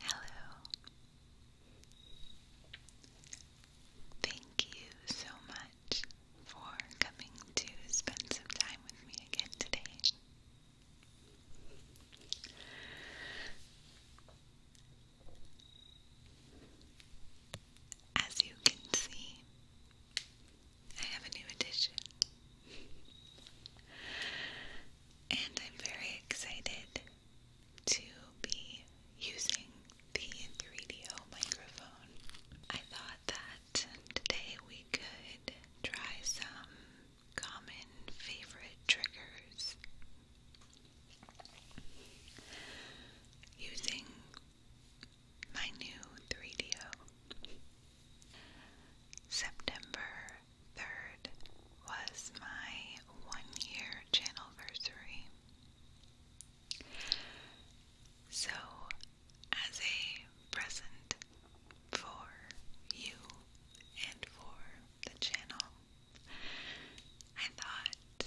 Hello. Thank you so much for coming to spend some time with me again today. As you can see, I have a new addition. And I'm very excited to be using the 3DO microphone. I thought that today we could try some common favorite triggers using my new 3DO. September 3rd was my one year channelversary. So, as a present for you and for the channel, I thought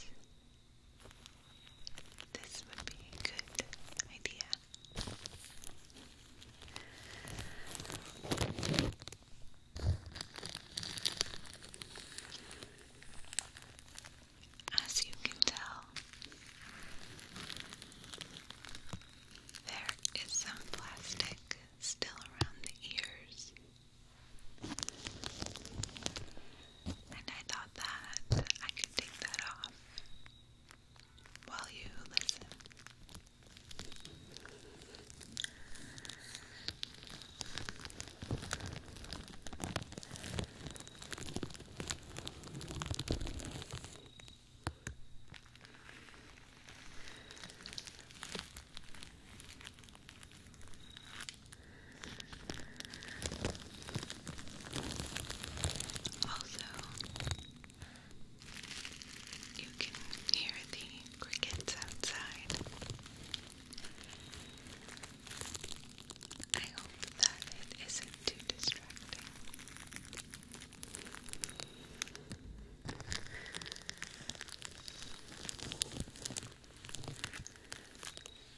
this would be a good idea. As you can tell, there is some plastic still around the ears and I thought that I could take that off while you listen. Also, you can hear the crickets outside. I hope that it isn't too distracting.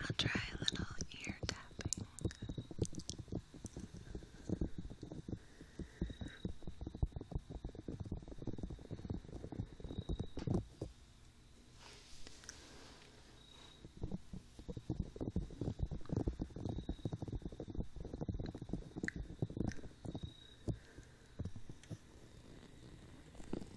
I'll try a little ear tapping.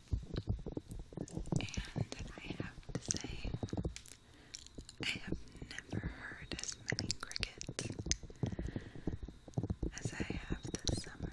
And I have to say, I have never heard as many crickets as I have this summer.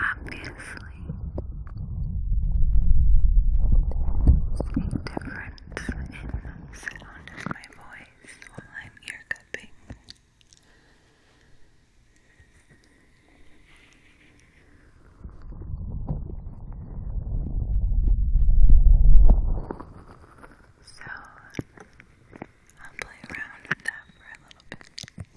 Obviously, it difference in the sound of my voice while I'm ear cupping. So I'll play around with that for a little bit.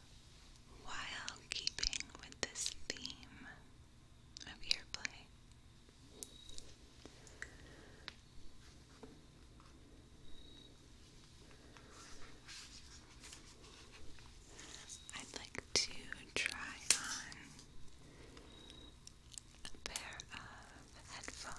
while keeping with this theme of ear I'd like to try on a pair of headphones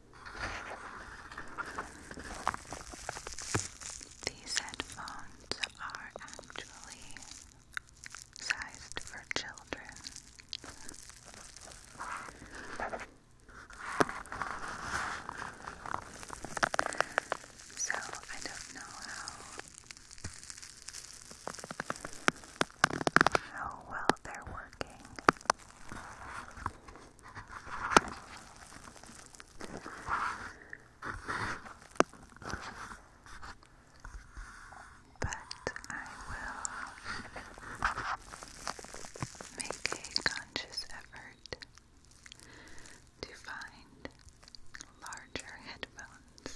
These headphones are actually sized for children. So I don't know how how well they're working. But I will make a conscious effort to find larger headphones.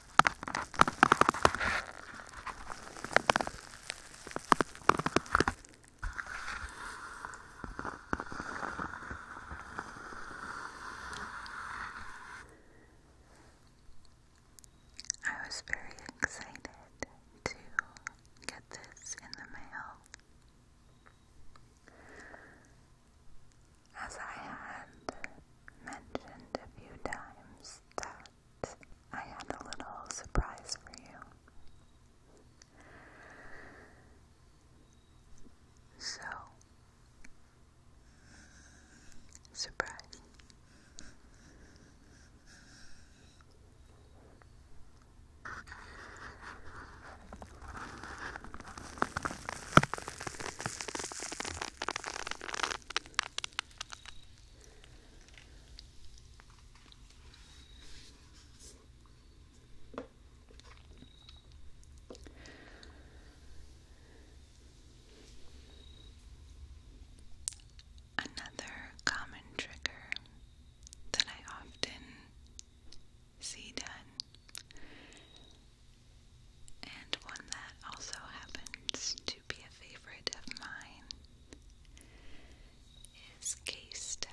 I was very excited to get this in the mail. As I had mentioned a few times, that I had a little surprise for you. So, surprise. Another common trigger that I often see done, and one that also happens to be favorite of mine is case stepping.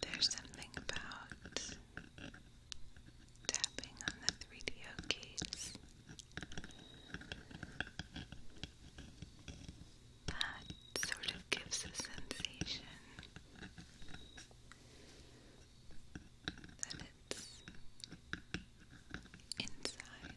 There's something about tapping on the 3DO keys that sort of gives a sensation that it's inside.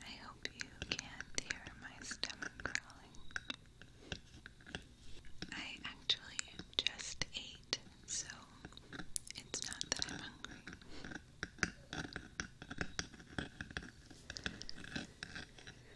I hope you can't hear my stomach growling. I actually just ate, so it's not that I'm hungry.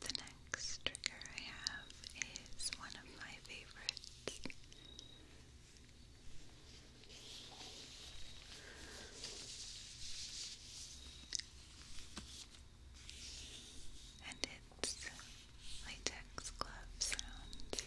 The next trigger I have is one of my favorites. And it's latex glove sounds.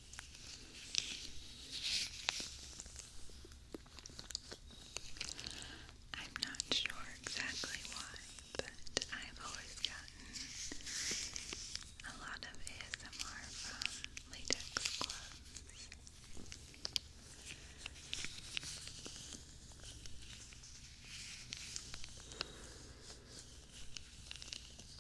I'm not sure exactly why, but I've always gotten a lot of ASMR from latex gloves.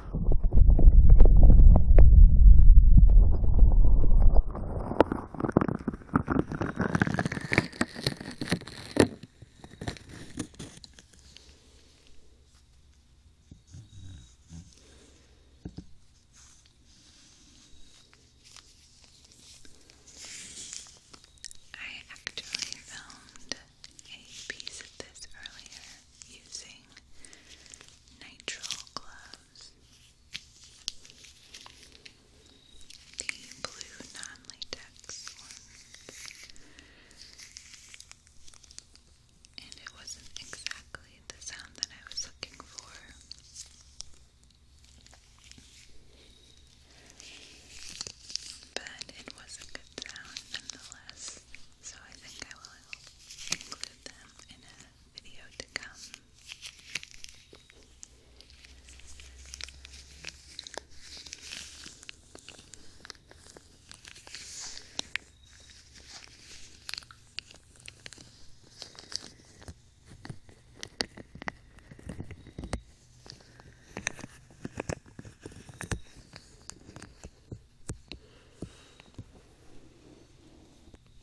I actually filmed a piece of this earlier using nitrile gloves, the blue non-latex ones, and it wasn't exactly the sound that I was looking for. But it was a good sound nonetheless, so I think I will include them in a video to come.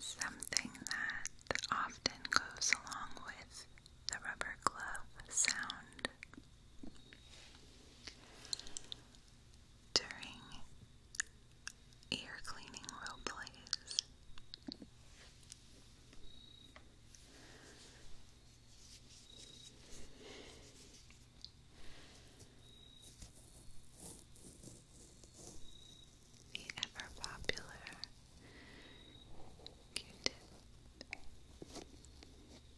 Something that often goes along with the rubber glove sound during ear cleaning role plays, the ever popular Q-tip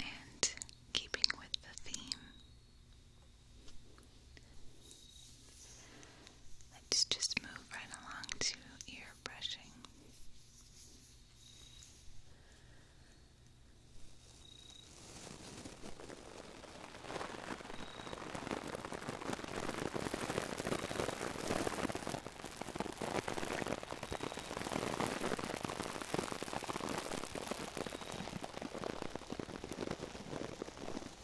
And keeping with the theme Let's just move right along to ear brushing.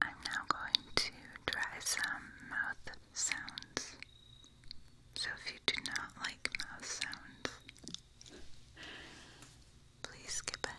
I'm now going to try some mouth sounds. So if you do not like mouth sounds, Please skip ahead.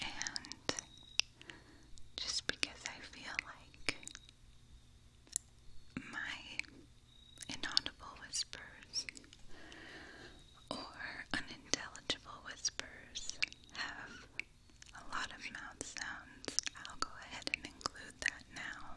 and just because I feel like my inaudible whispers or unintelligible whispers have a lot of mouth sounds, I'll go ahead and include that now.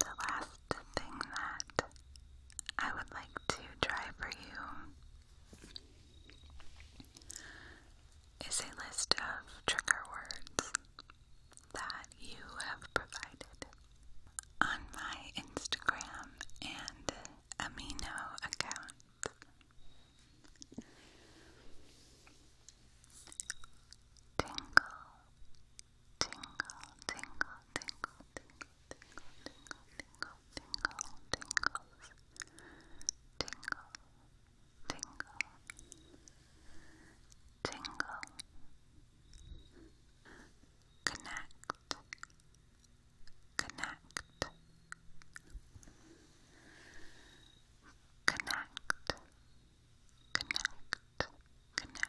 The last first thing that I would like to try for you is a list of trigger words that you have provided. On my Instagram and Amino account, tingle, tingle, tingle, tingle, tingle, tingle, tingle, tingle, tingles, tingle, tingle, tingle, connect, connect, connect, connect, connect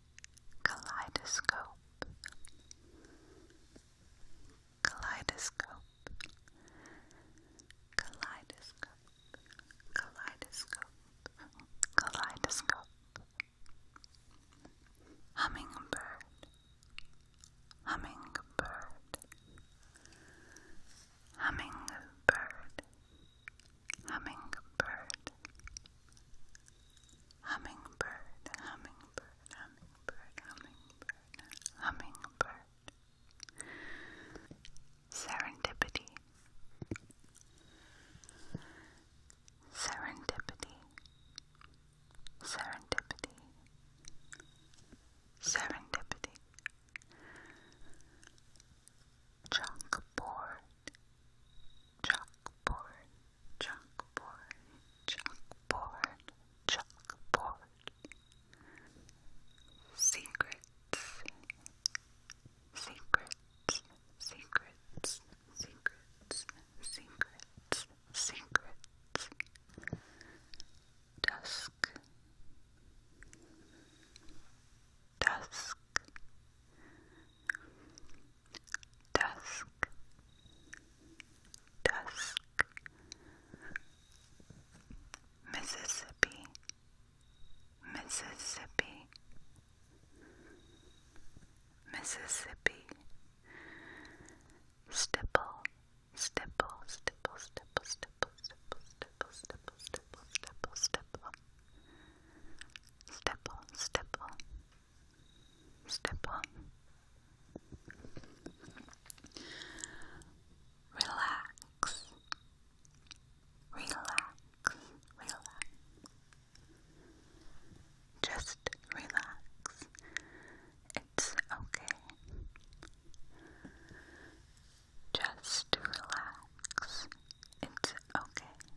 kaleidoscope, kaleidoscope, kaleidoscope, kaleidoscope, kaleidoscope, hummingbird, hummingbird, hummingbird. Hummingbird. Hummingbird, hummingbird, hummingbird, hummingbird, hummingbird. Serendipity. Serendipity. Serendipity. Serendipity. Chalkboard chalkboard, chalkboard, chalkboard, chalkboard. Secrets, secrets, secrets, secrets, secrets, secrets. Dusk, dusk dusk, dusk, Mississippi, Mississippi, Mississippi, stipple, stipple, stipple, stipple, stipple, stipple, stipple, stipple, stipple, stipple, stipple, stipple, stipple. Step on. Relax. Relax. Relax. Just relax. It's okay. Just relax. It's okay.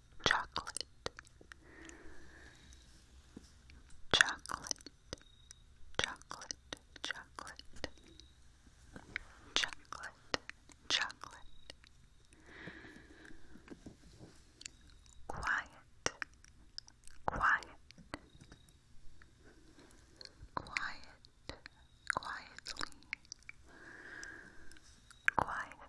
chocolate, chocolate, chocolate, chocolate, chocolate, chocolate, quiet, quiet, quiet, quietly, quiet.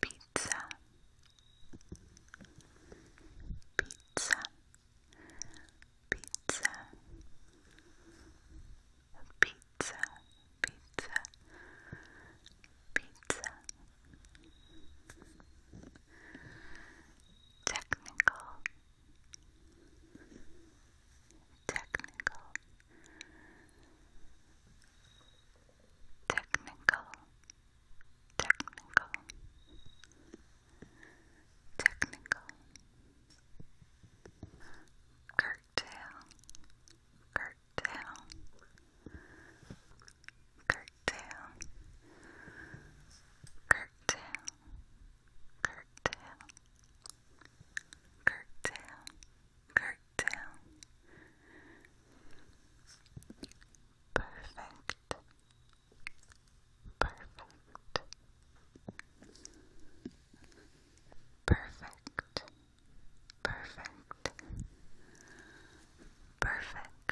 Pizza Pizza Pizza Pizza Pizza Pizza Technical Technical technical, technical, technical, curtail, curtail, curtail, curtail, curtail. Curtail, curtail, two. Perfect. Perfect. Perfect. Perfect. Perfect. Perfect.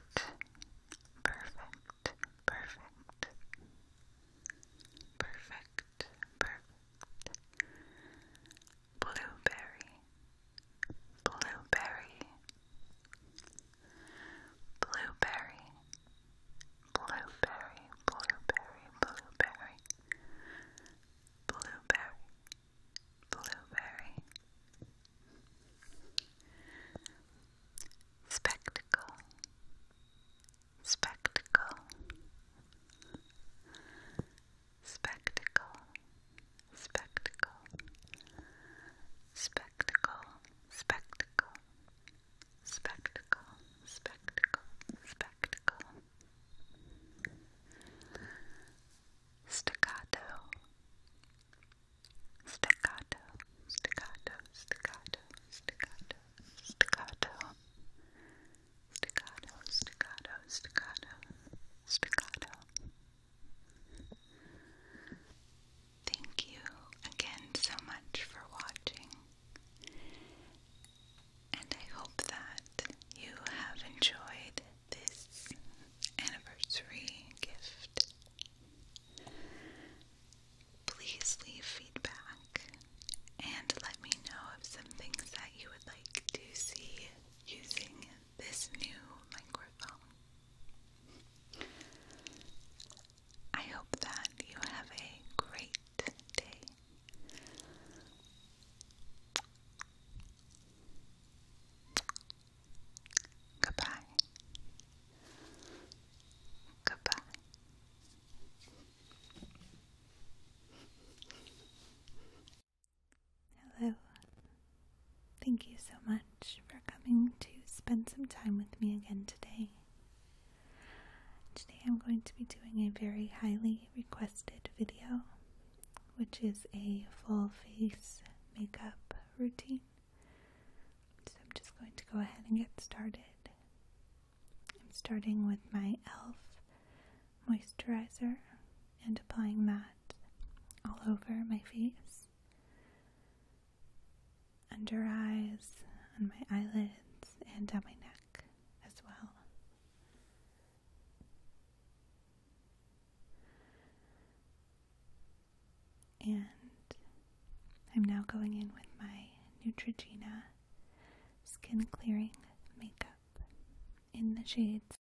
Perfect. Perfect. Perfect. Blueberry. Blueberry blueberry, blueberry, blueberry, blueberry, blueberry, blueberry, blueberry, spectacle, spectacle spectacle, spectacle, spectacle, spectacle, spectacle, spectacle, spectacle, staccato, staccato, staccato, staccato, staccato, staccato. Staccato, staccato, staccato, staccato, Thank you again so much for watching, and I hope that you have enjoyed this anniversary gift. Please leave feedback and let me know of some things that you would like to see using this new microphone. I hope that you have a great day. Goodbye. Goodbye. Hello. Thank you so much for coming to spend some time with me again today. Today I'm going to be doing a very highly requested video, which is a full face makeup routine. So I'm just going to go ahead and get started. I'm starting with my e.l.f. moisturizer and applying that all over my face, under eyes, on my eyelids, and on my neck as well. And I'm now going in with my Neutrogena skin clearing makeup in the shades